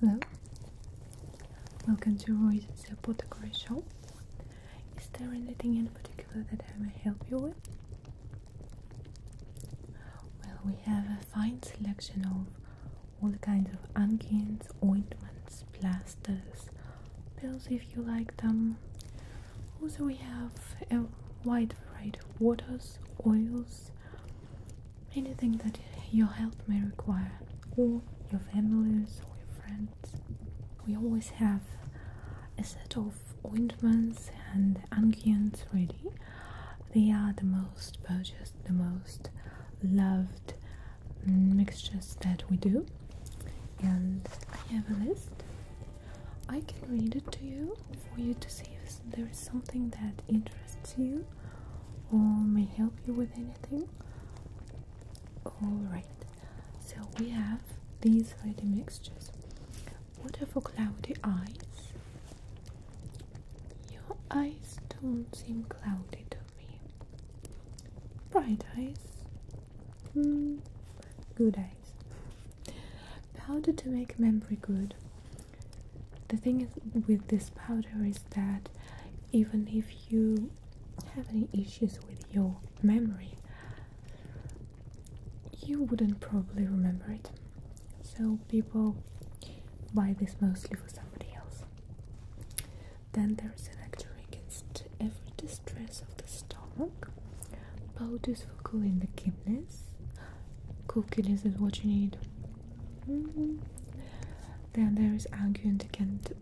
Hello, welcome to Roy's Apple Decoration Shop. Is there anything in particular that I may help you with? Well, we have a fine selection of all kinds of onions, ointments, plasters, pills if you like them. Also, we have a wide variety of waters, oils, anything that your health may require, or your families, or your friends. We always have a set of ointments and unguents ready. They are the most purchased, the most loved Mm, mixtures that we do, and I have a list. I can read it to you for you to see if there is something that interests you or may help you with anything. Alright, so we have these 30 mixtures water for cloudy eyes. Your eyes don't seem cloudy to me. Bright eyes, Hmm, good eyes. Powder to make memory good. The thing is with this powder is that even if you have any issues with your memory, you wouldn't probably remember it. So people buy this mostly for somebody else. Then there is an actor against every distress of the stomach. Powders for cooling the kidneys. Cool kidneys is what you need. Mm-hmm. Then there is an against.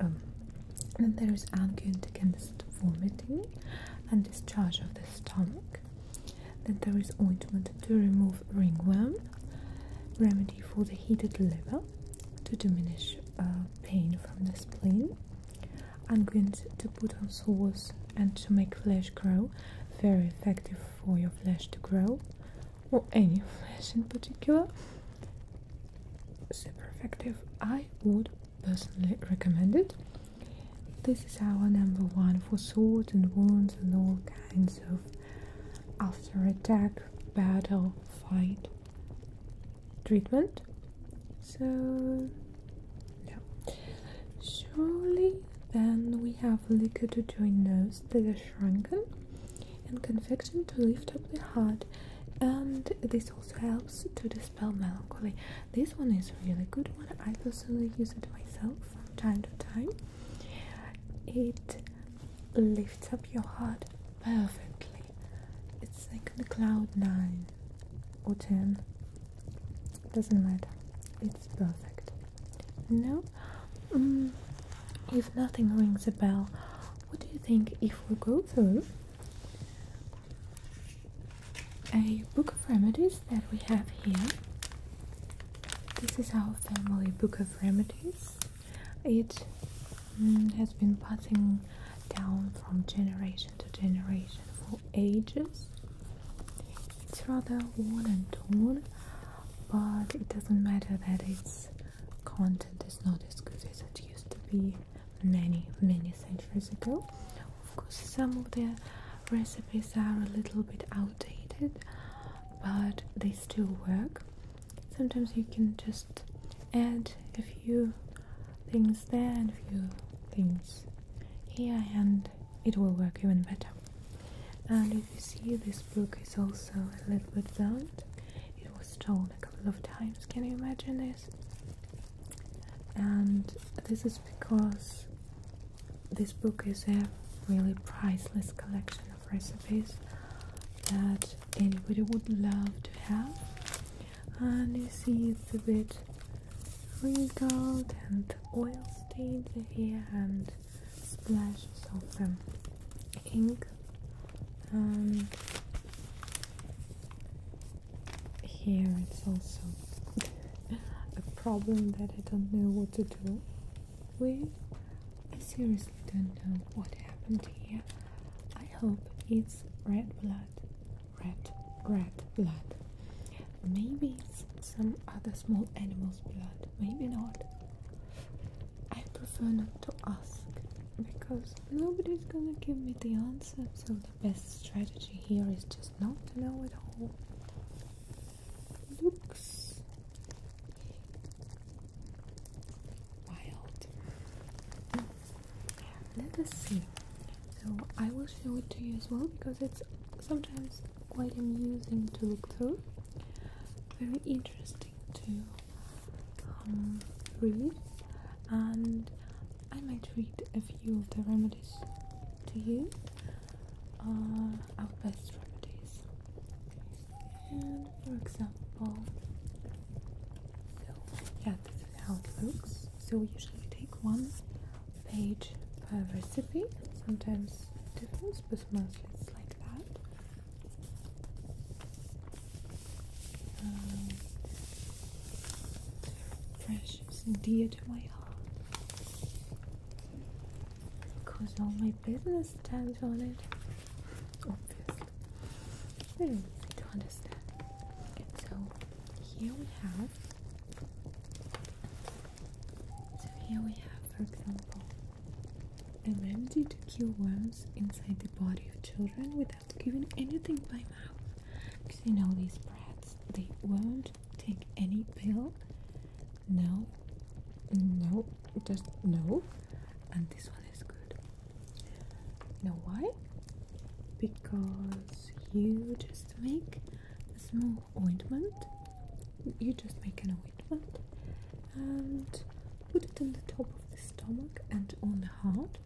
Um, there is argument against vomiting and discharge of the stomach. Then there is ointment to remove ringworm, remedy for the heated liver, to diminish uh, pain from the spleen, I'm going to put on swords and to make flesh grow, very effective for your flesh to grow, or any flesh in particular. Super effective. I would personally recommend it. This is our number one for swords and wounds and all kinds of after attack, battle, fight treatment. So, yeah. Surely then we have liquor to join those that are shrunken and convection to lift up the heart and this also helps to dispel melancholy. This one is really good one. I personally use it myself from time to time. It lifts up your heart perfectly. It's like the cloud 9 or 10. Doesn't matter. It's perfect. No? Mm, if nothing rings a bell, what do you think if we go through a book of remedies that we have here? This is our family book of remedies. It mm, has been passing down from generation to generation for ages. It's rather worn and torn, but it doesn't matter that its content is not as good as it used to be many, many centuries ago. Of course, some of the recipes are a little bit outdated, but they still work. Sometimes you can just add a few things there and a few things here and it will work even better and if you see this book is also a little bit burned it was torn a couple of times can you imagine this and this is because this book is a really priceless collection of recipes that anybody would love to have and you see it's a bit wrinkled and oil stains here and splashes of the ink um, here it's also a problem that I don't know what to do We seriously don't know what happened here I hope it's red blood red, red blood. Maybe it's some other small animal's blood, maybe not. I prefer not to ask because nobody's gonna give me the answer, so the best strategy here is just not to know at all. Looks wild let us see so i will show it to you as well because it's sometimes quite amusing to look through very interesting to um, read and i might read a few of the remedies to you uh, our best remedies and for example so yeah, this is how it looks. So we usually take one page per recipe. Sometimes difference, but mostly it's like that. Precious um, and dear to my heart because all my business depends on it. Obviously. Very easy to understand. So here we have. So here we have, for example, a remedy to kill worms inside the body of children without giving anything by mouth. Because you know these brats, they won't take any pill. No, no, just no. And this one is good. You know why? Because you just make a small ointment. You just make an ointment and put it in the top of the stomach and on the heart.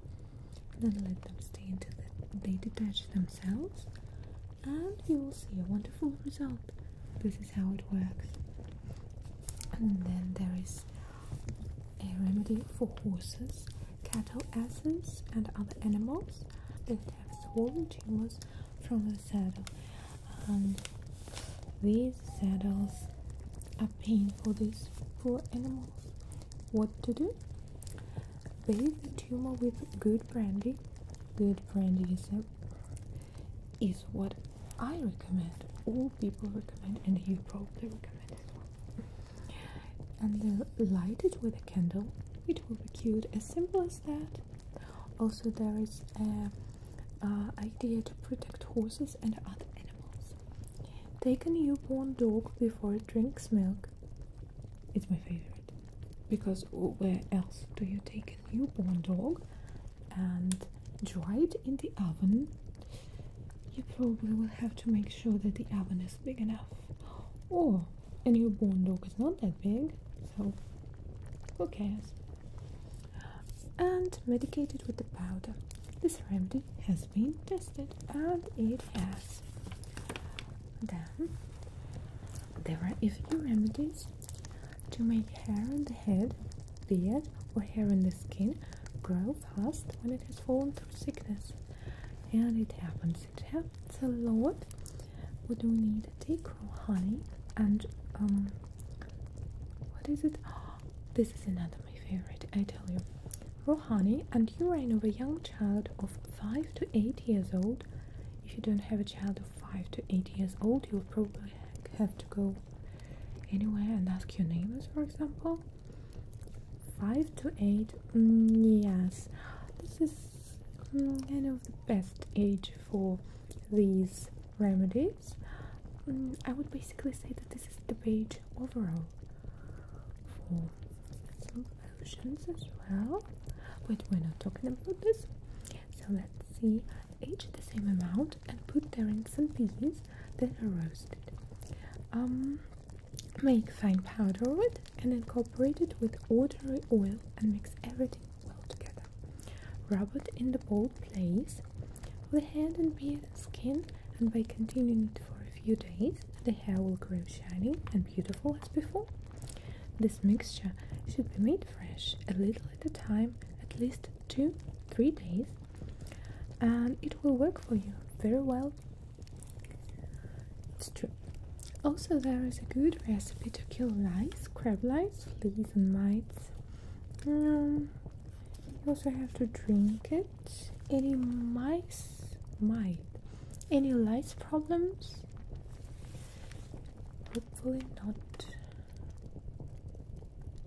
Then let them stay until they detach themselves, and you will see a wonderful result. This is how it works. And then there is a remedy for horses, cattle asses, and other animals that have swollen tumors from the saddle. And these saddles are pain for these poor animals. What to do? Bathe the tumor with good brandy. Good brandy is, is what I recommend. All people recommend, and you probably recommend as well and light it with a candle. It will be cute, as simple as that. Also, there is a idea to protect horses and other animals. Take a newborn dog before it drinks milk. It's my favorite because where else do you take a newborn dog and dry it in the oven you probably will have to make sure that the oven is big enough. Or oh, a newborn dog is not that big, so who cares? And medicated with the powder. This remedy has been tested and it has. Then there are a few remedies to make hair on the head, beard, or hair on the skin grow fast when it has fallen sickness and it happens it happens a lot we do need a take home honey and um, what is it oh, this is another my favorite i tell you raw honey and you urine of a young child of 5 to 8 years old if you don't have a child of 5 to 8 years old you'll probably have to go anywhere and ask your neighbors for example Five to eight, mm, yes, this is mm, kind of the best age for these remedies. Mm, I would basically say that this is the page overall for some as well. But we're not talking about this, so let's see Age the same amount and put therein some peas Then are roasted. Um, Make fine powder wood and incorporate it with ordinary oil and mix everything well together. Rub it in the bald place with the hand and beard and skin, and by continuing it for a few days, the hair will grow shiny and beautiful as before. This mixture should be made fresh a little at a time, at least two, three days, and it will work for you very well it's true. Also, there is a good recipe to kill lice, crab lice, fleas, and mites. Um, you also have to drink it. Any mice, mite, any lice problems? Hopefully not.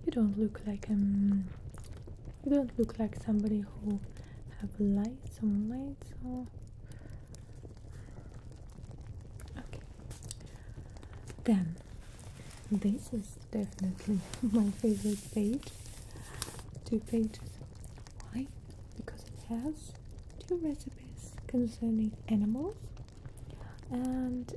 You don't look like um you don't look like somebody who have lights on lights or okay. Then this is definitely my favorite page. Two pages. Why? Because it has two recipes concerning animals and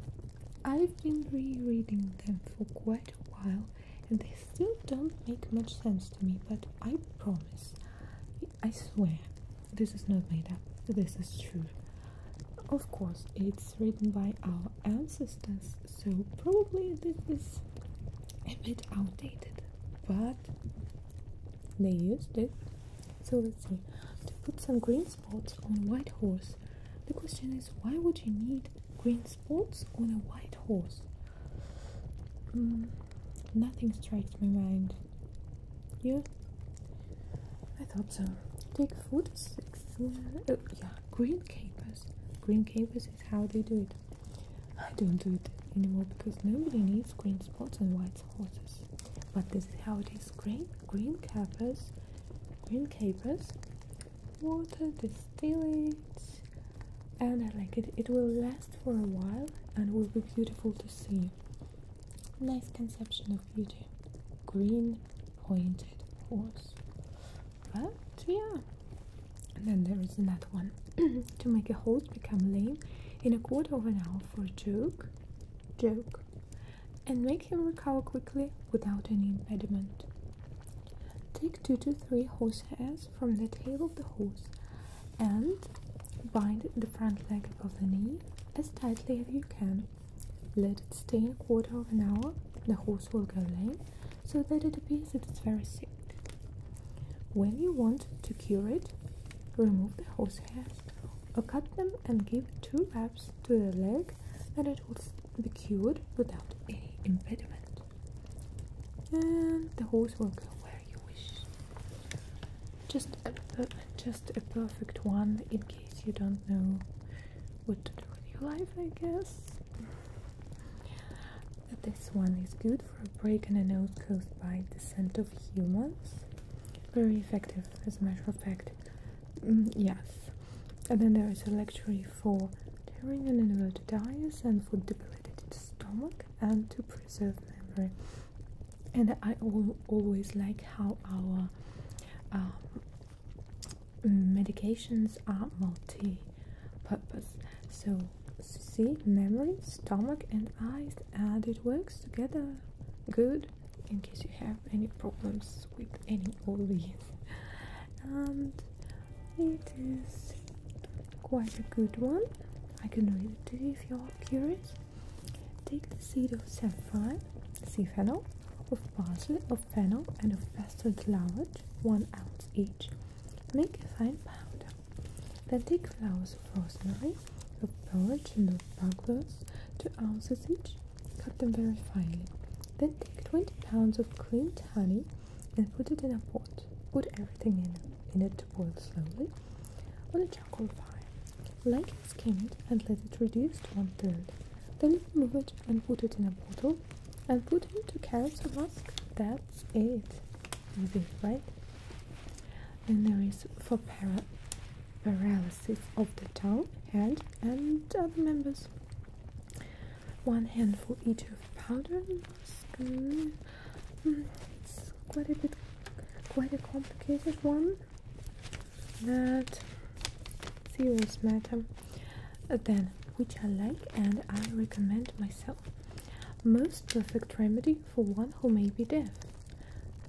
I've been rereading them for quite a while and they still don't make much sense to me, but I promise, I swear, this is not made up, this is true. Of course, it's written by our ancestors, so probably this is a bit outdated, but they used it. So let's see, to put some green spots on white horse, the question is why would you need green spots on a white horse. Mm, nothing strikes my mind. You? I thought so. Take food six. Oh, yeah, green capers. Green capers is how they do it. I don't do it anymore because nobody needs green spots on white horses. But this is how it is. Green, green capers, green capers, water, distillate, and I like it. It will last for a while and will be beautiful to see. Nice conception of beauty. Green pointed horse. But yeah. And then there is another one. to make a horse become lame in a quarter of an hour for a joke. Joke. And make him recover quickly without any impediment. Take two to three horse horsehair from the tail of the horse and bind the front leg above the knee as tightly as you can. Let it stay a quarter of an hour, the horse will go lame so that it appears it is very sick. When you want to cure it, remove the horsehairs or cut them and give two wraps to the leg and it will be cured without any impediment and the horse will go where you wish. Just a, just a perfect one in case you don't know what to do with your life, I guess. This one is good for a break in a nose caused by the scent of humans. Very effective, as a matter of fact. Mm, yes. And then there is a luxury for tearing an animal to and for debilitated stomach and to preserve memory. And I always like how our um, medications are multi-purpose. So see, memory, stomach and eyes, and it works together good in case you have any problems with any of these and it is quite a good one. I can read it to you if you are curious. Take the seed of saffron, sea of parsley, of fennel, and of bastard laurage, one ounce each. Make a fine powder. Then take flowers of rosemary, of borage, and of buglers, two ounces each. Cut them very finely. Then take 20 pounds of creamed honey, and put it in a pot. Put everything in, in it to boil slowly on a charcoal fire. Lightly skim it and let it reduce to one third. Then remove it and put it in a bottle and put into carrots or musk. That's it. Easy, right? Then there is for para paralysis of the tongue, hand, and other members one handful each of powder hmm, it's quite a bit, quite a complicated one. That serious matter. Uh, then, which I like and I recommend myself. Most perfect remedy for one who may be deaf.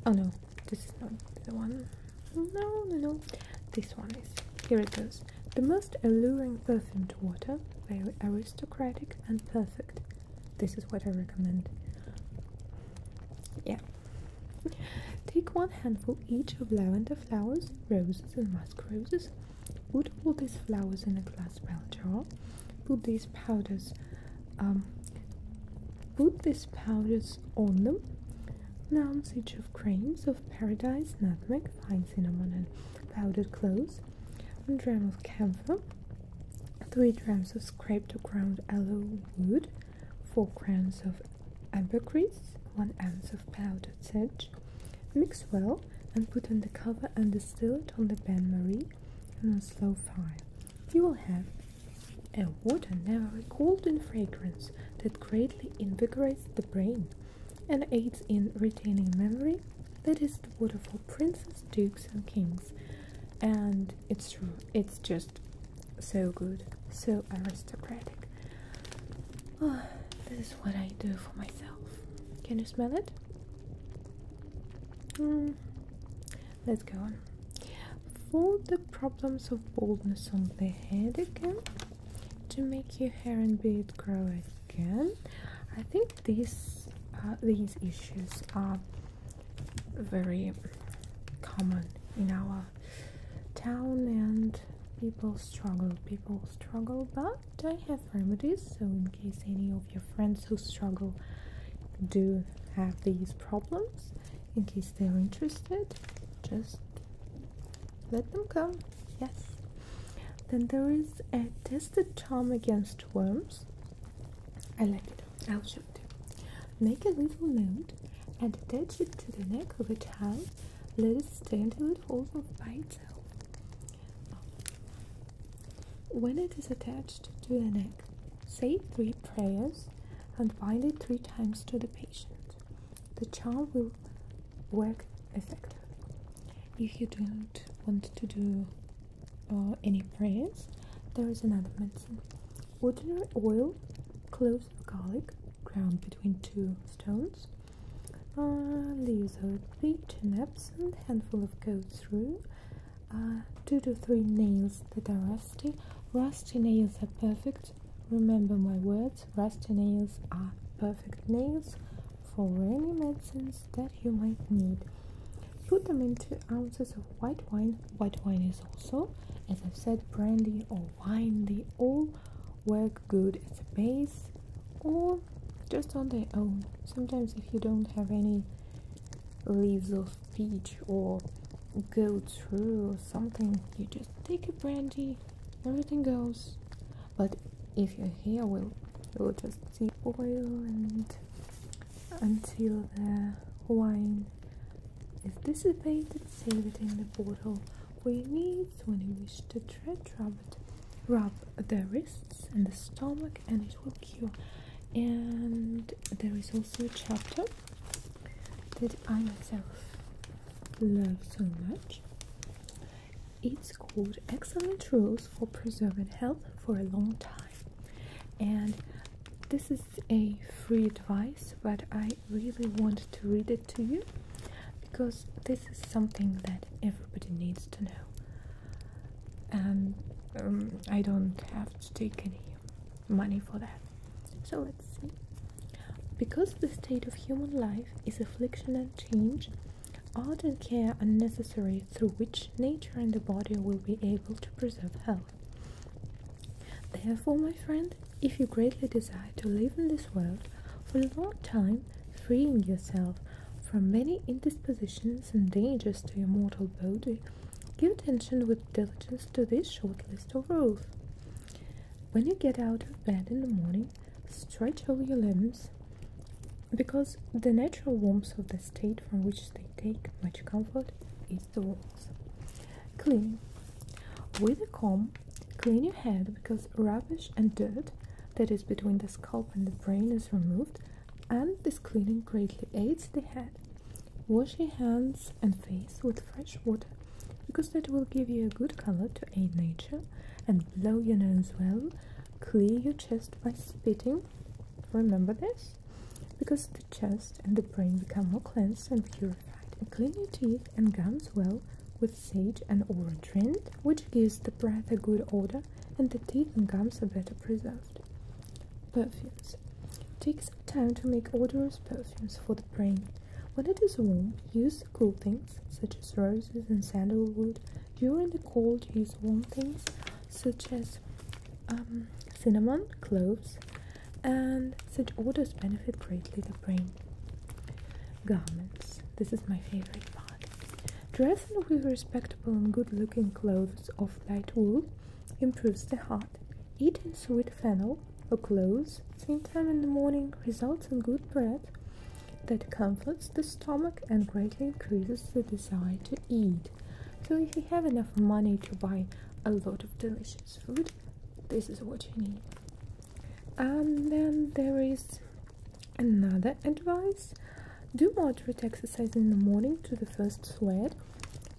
Oh no, this is not the one. No, no, no. This one is. Here it goes. The most alluring perfume water, very aristocratic and perfect. This is what I recommend. Yeah. Take one handful each of lavender flowers, roses, and musk roses. Put all these flowers in a glass bell jar. Put these powders, um, put these powders on them. An ounce each of creams of paradise, nutmeg, fine cinnamon, and powdered cloves, 1 dram of camphor, 3 drams of scraped or ground aloe wood, 4 grains of ambergris, 1 ounce of powdered sage. Mix well and put on the cover and distill it on the bain-marie and a slow fire. You will have a water never recalled in fragrance that greatly invigorates the brain and aids in retaining memory. That is the water for princes, dukes, and kings. And it's true, it's just so good, so aristocratic. Oh, this is what I do for myself. Can you smell it? Hmm, let's go on. For the problems of baldness on the head again, to make your hair and beard grow skin. I think these uh, these issues are very common in our town and people struggle people struggle but I have remedies so in case any of your friends who struggle do have these problems in case they're interested just let them come yes then there is a the charm against worms. I like it. I'll show it. Make a little note and attach it to the neck of a towel. Let it stand till it falls off by itself. When it is attached to the neck, say three prayers and bind it three times to the patient. The charm will work effectively. If you don't want to do uh, any prayers, there is another medicine. Ordinary oil, cloves garlic, ground between two stones, leaves of beet and absinthe, handful of goat's rue, uh, two to three nails that are rusty. Rusty nails are perfect. Remember my words, rusty nails are perfect nails for any medicines that you might need. Put them in 2 ounces of white wine. White wine is also, as I've said, brandy or wine. They all work good as a base or just on their own. Sometimes, if you don't have any leaves of peach or go through or something, you just take a brandy, everything goes but if your hair will will just see oil and until the wine is dissipated save it in the bottle for your needs when you wish to treat rub rub the wrists and the stomach and it will cure and there is also a chapter that i myself love so much it's called Excellent Rules for Preserving Health for a Long Time, and this is a free advice, but I really want to read it to you because this is something that everybody needs to know. And um, I don't have to take any money for that. So let's see. Because the state of human life is affliction and change, all the care are necessary through which nature and the body will be able to preserve health. Therefore, my friend, if you greatly desire to live in this world for a long time, freeing yourself from many indispositions and dangers to your mortal body, give attention with diligence to this short list of rules. When you get out of bed in the morning, stretch all your limbs because the natural warmth of the state from which they take much comfort is the walls. Clean. With a comb, clean your head because rubbish and dirt that is between the scalp and the brain is removed, and this cleaning greatly aids the head. Wash your hands and face with fresh water because that will give you a good color to aid nature, and blow your nose well Clear your chest by spitting. Remember this? Because the chest and the brain become more cleansed and purified. And clean your teeth and gums well with sage and orange rind, which gives the breath a good odor and the teeth and gums are better preserved. Perfumes. Take some time to make odorous perfumes for the brain. When it is warm, use cool things such as roses and sandalwood during the cold, use warm things such as um, cinnamon, cloves, and such odors benefit greatly the brain. Garments. This is my favorite part. Dress with respectable and good-looking clothes of light wool improves the heart. Eating sweet fennel or cloves same time in the morning results in good breath that comforts the stomach and greatly increases the desire to eat. So, if you have enough money to buy a lot of delicious food, this is what you need. And then there is another advice do moderate exercise in the morning to the first sweat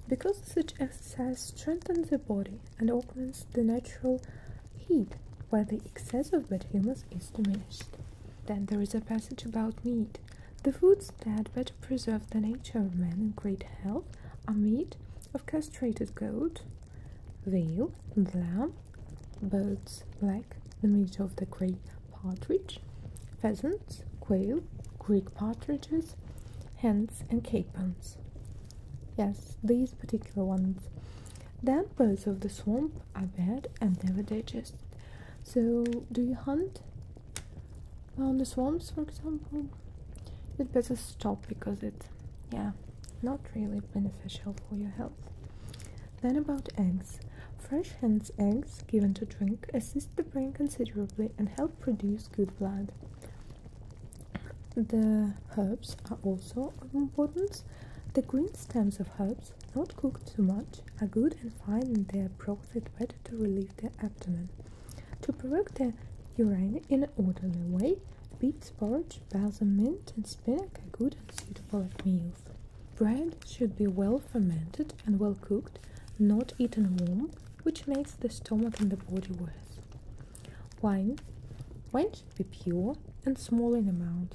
because such exercise strengthens the body and augments the natural heat while the excess of bad humors is diminished. Then there is a passage about meat. The foods that better preserve the nature of man in great health are meat of castrated goat, veal, and lamb, birds like the meat of the grey partridge, pheasants, quail, Greek partridges, hens, and capons. Yes, these particular ones. Then birds of the swamp I bad and never digest. So, do you hunt on the swamps, for example? you better stop because it's, yeah, not really beneficial for your health. Then about eggs. Fresh hens' eggs given to drink assist the brain considerably and help produce good blood. The herbs are also of importance. The green stems of herbs not cooked too much, are good and fine in their broth and better to relieve the abdomen. To provoke the urine in an orderly way, beets, porridge, balsam, mint and spinach are good and suitable at meals. Bread should be well fermented and well cooked, not eaten warm, which makes the stomach and the body worse. Wine Wine should be pure and small in amount.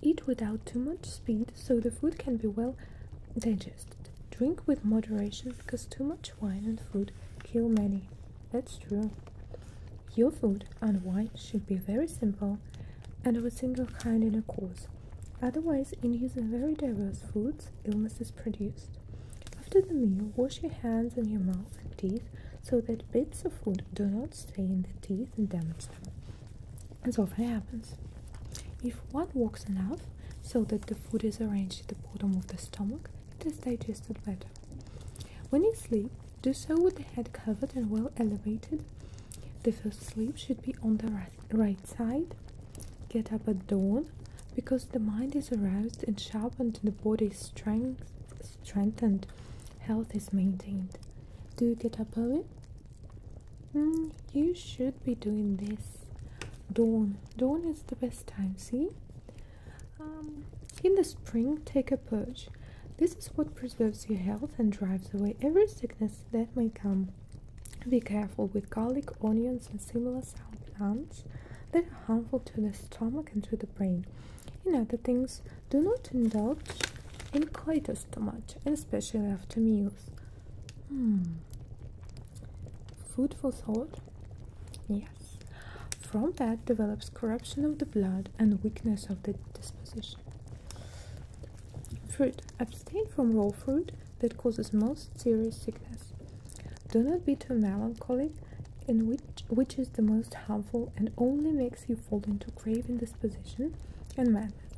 Eat without too much speed so the food can be well digested. Drink with moderation because too much wine and food kill many. That's true. Your food and wine should be very simple and of a single kind in a course. Otherwise, in using very diverse foods, illness is produced. After the meal, wash your hands and your mouth and teeth so that bits of food do not stay in the teeth and damage them as often happens. If one walks enough so that the food is arranged at the bottom of the stomach, it is digested better. When you sleep, do so with the head covered and well elevated. The first sleep should be on the right side. Get up at dawn because the mind is aroused and sharpened and the body is strength, strengthened, health is maintained. Do you get up early? Mm, you should be doing this. Dawn. Dawn is the best time, see? Um, in the spring, take a purge. This is what preserves your health and drives away every sickness that may come. Be careful with garlic, onions, and similar sour plants that are harmful to the stomach and to the brain. In other things, do not indulge in coitus too much, especially after meals. Hmm. Food for thought? Yes. From that develops corruption of the blood and weakness of the disposition. Fruit. Abstain from raw fruit that causes most serious sickness. Do not be too melancholic, in which, which is the most harmful and only makes you fall into grave indisposition and madness.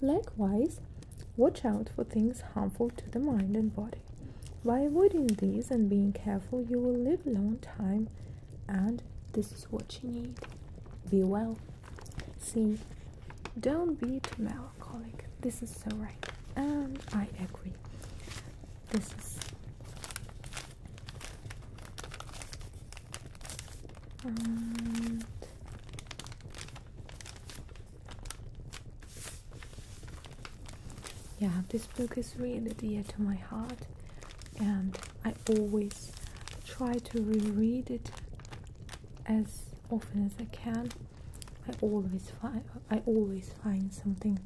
Likewise, watch out for things harmful to the mind and body. By avoiding these and being careful, you will live a long time, and this is what you need. Be well. See, don't be too melancholic. This is so right, and I agree. This is yeah, this book is really dear to my heart, and I always try to reread it as often as I can. I always find I always find something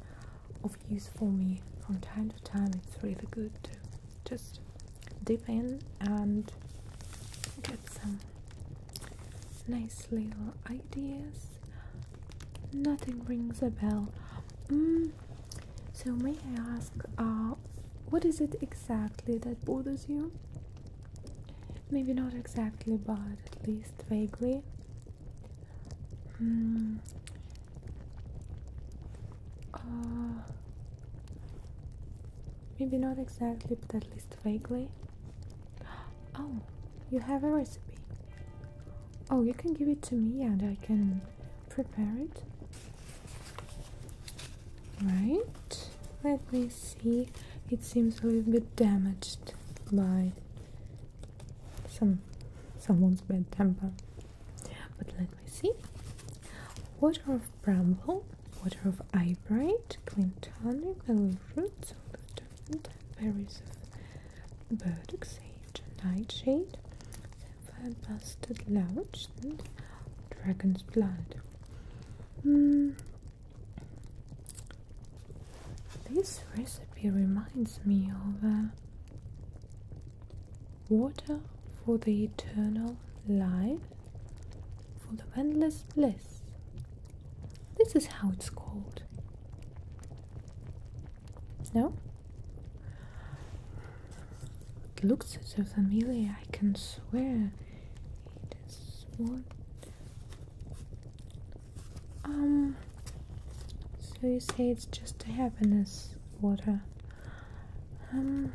of use for me from time to time. It's really good to just dip in and get some nice little ideas. Nothing rings a bell. Mm, so, may I ask, uh, what is it exactly that bothers you? Maybe not exactly, but at least vaguely. Hmm. Uh, maybe not exactly, but at least vaguely. Oh, you have a recipe. Oh, you can give it to me and I can prepare it. Right, let me see. It seems a little bit damaged by some someone's bad temper. But let me see. What are bramble, water of eyebright, clintonic, belly roots, lutein, berries of burdock, sage, nightshade, sapphire, busted dragon's blood. Hmm. This recipe reminds me of uh, water for the eternal life, for the endless bliss. This is how it's called. No? It looks so familiar, I can swear it is What? Um, so you say it's just a happiness water. Um,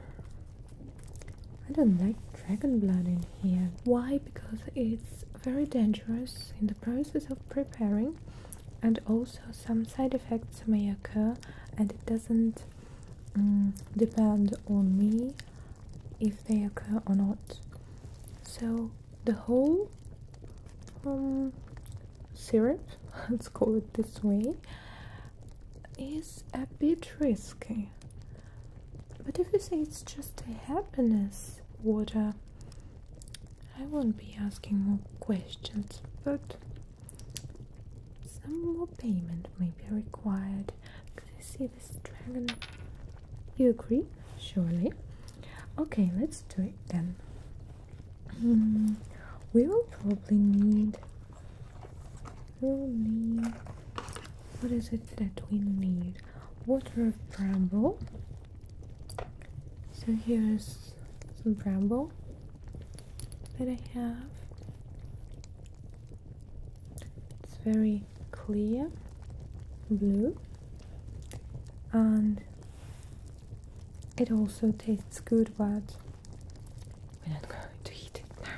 I don't like dragon blood in here. Why? Because it's very dangerous in the process of preparing and also some side effects may occur and it doesn't mm, depend on me if they occur or not. So the whole um, syrup, let's call it this way, is a bit risky. But if you say it's just a happiness water, I won't be asking more questions, but some more payment may be required. Because I see this dragon. You agree? Surely. Okay, let's do it then. Hmm, we will probably need we need what is it that we need? Water of bramble. So here's some bramble that I have. It's very clear blue and it also tastes good but we're not going to eat it now.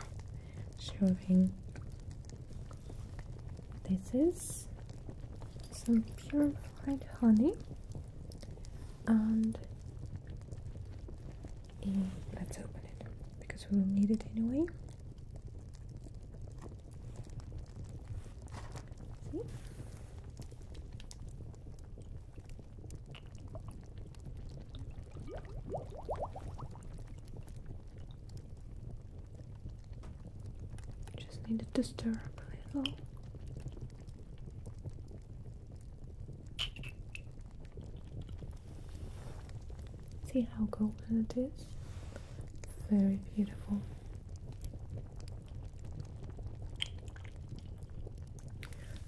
Showing this is some purified honey and let's open it because we will need it anyway. See? Just needed to stir up a little. See how golden it is? Very beautiful.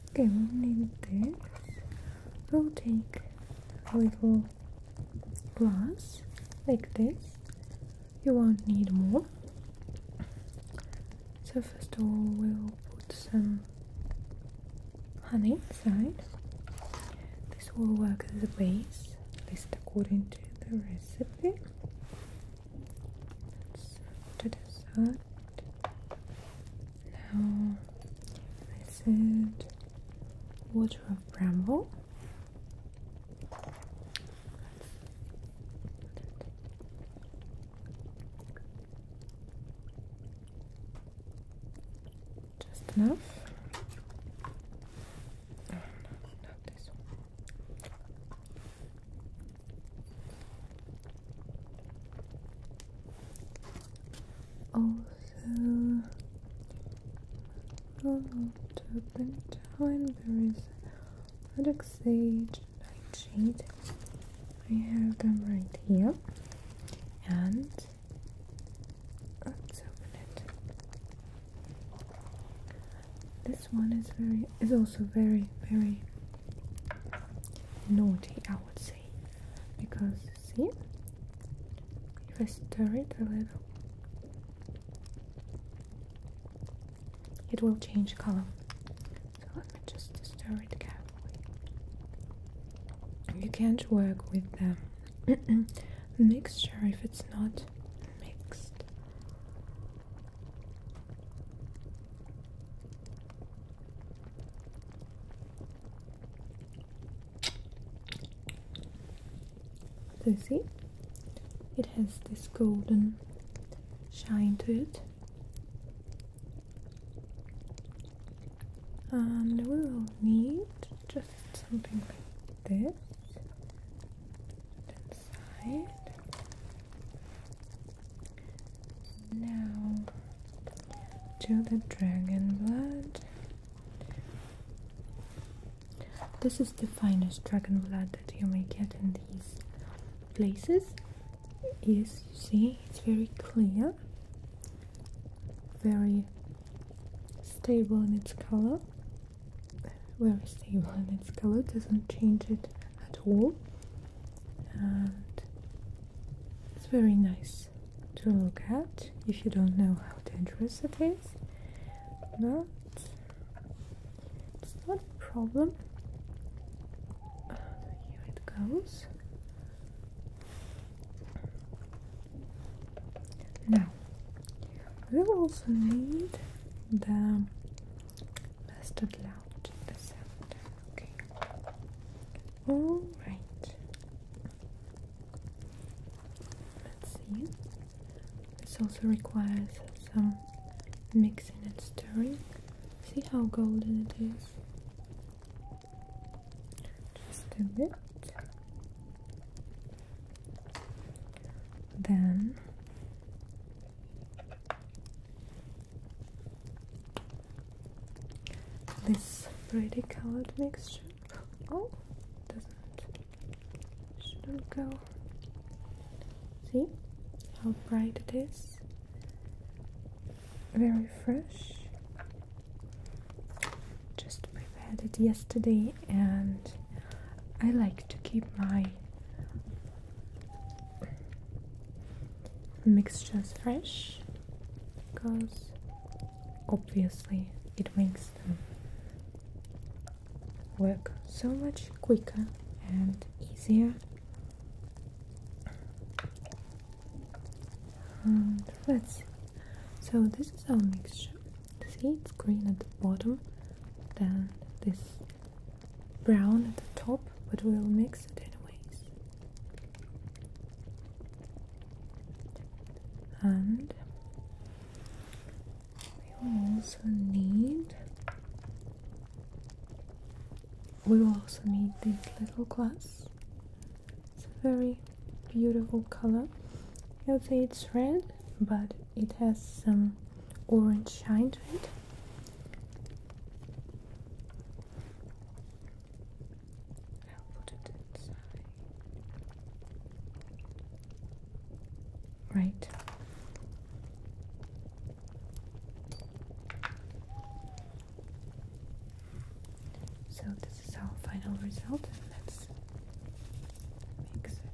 Okay, we'll need this. We'll take a little glass like this. You won't need more. So first of all, we'll put some honey inside. This will work as a base, at least according to the recipe. Let's to the now I said water of bramble. Just enough. Oh, no, not this one also not open time there is product sage nightshade I have them right here and let's open it this one is very is also very very naughty I would say because see if I stir it a little it will change color so let me just stir it carefully you can't work with the mixture if it's not mixed so see, it has this golden shine to it. And um, we will need just something like this inside. Now to the dragon blood. This is the finest dragon blood that you may get in these places. Yes, you see, it's very clear, very stable in its color. Very stable in its color, doesn't change it at all, and it's very nice to look at if you don't know how dangerous it is but it's not a problem here it goes now we also need the mustard loud the sound okay all right Let's see. This also requires some mixing and stirring. See how golden it is? Just a bit. Then this pretty colored mixture. Oh, doesn't shouldn't go. See how bright it is. Very fresh. Just prepared it yesterday, and I like to keep my mixtures fresh because obviously it makes them work so much quicker and easier let's see so this is our mixture see it's green at the bottom then this brown at the top but we'll mix it anyways and we will also need we will also need this little glass it's a very beautiful color you would say it's red but it has some orange shine to it Right. So this is our final result let's mix it.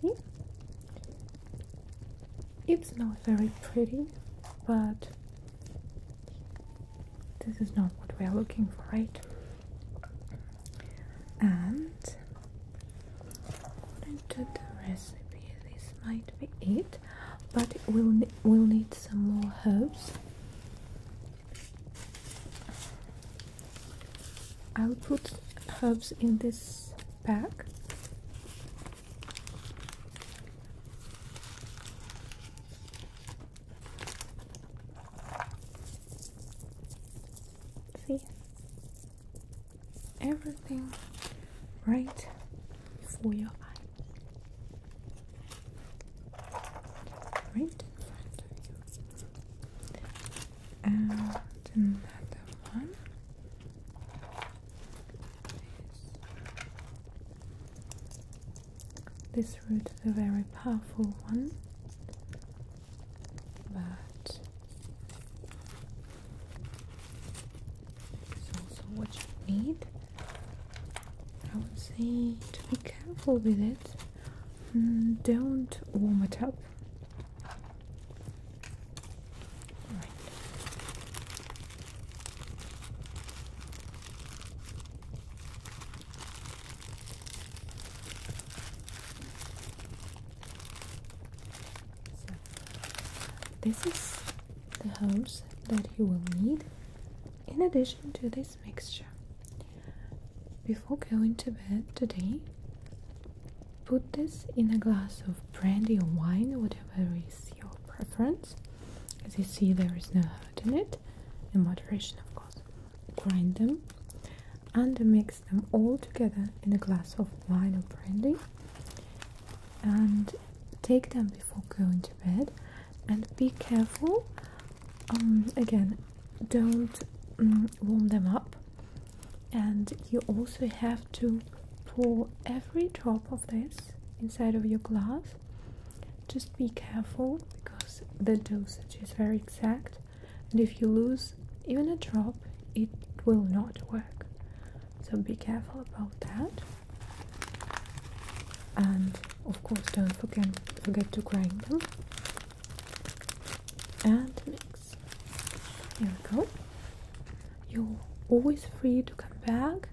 See? It's not very pretty, but this is not what we are looking for, right? And according to the recipe, this might be it, but we'll we'll need some more herbs. I'll put herbs in this bag See? Everything right before your eyes. Right in front of you. And another one. This root is a very powerful one, but it's also what you need. I would say to be careful with it. Mm, don't warm it up this is the hose that you will need in addition to this mixture. Before going to bed today, put this in a glass of brandy or wine, whatever is your preference, as you see, there is no hurt in it, in moderation, of course. Grind them and mix them all together in a glass of wine or brandy and take them before going to bed and be careful um, again don't mm, warm them up and you also have to pour every drop of this inside of your glass just be careful because the dosage is very exact, and if you lose even a drop, it will not work. So be careful about that. And of course, don't forget, to grind them and mix. Here we go. You're always free to come back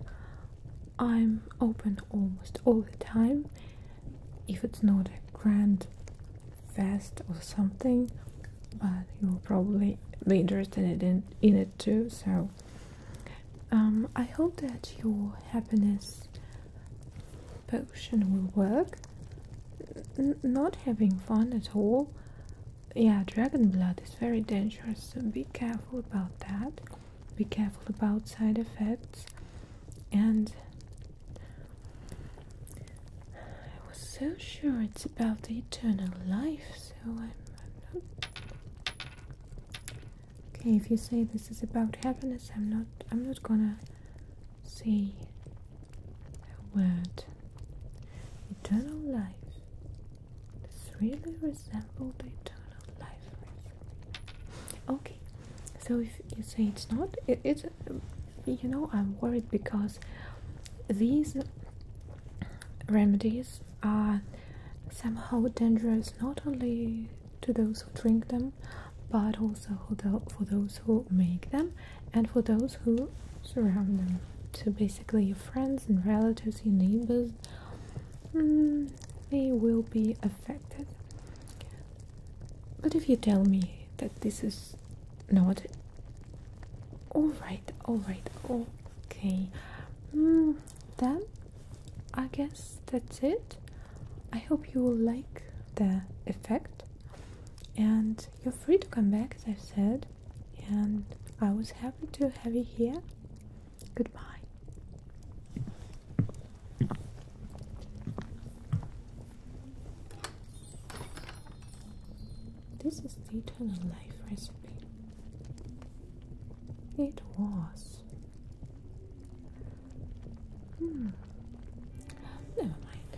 I'm open almost all the time. If it's not a grand fest or something, but you'll probably be interested in, in it too. So um, I hope that your happiness potion will work. not having fun at all. Yeah, dragon blood is very dangerous, so be careful about that be careful about side effects and I was so sure it's about the eternal life, so I'm, not okay. If you say this is about happiness, I'm not. I'm not gonna say a word. Eternal life. This really resembles the eternal life. Okay, so if you say it's not, it's you know I'm worried because these remedies are somehow dangerous not only to those who drink them, but also for those who make them and for those who surround them. So basically, your friends and relatives, your neighbors. Mm, they will be affected. But if you tell me that this is not alright, alright, okay, hmm, then I guess that's it. I hope you will like the effect, and you're free to come back, as i said. And I was happy to have you here. Goodbye. This is the eternal life recipe. It was. Hmm. Never mind.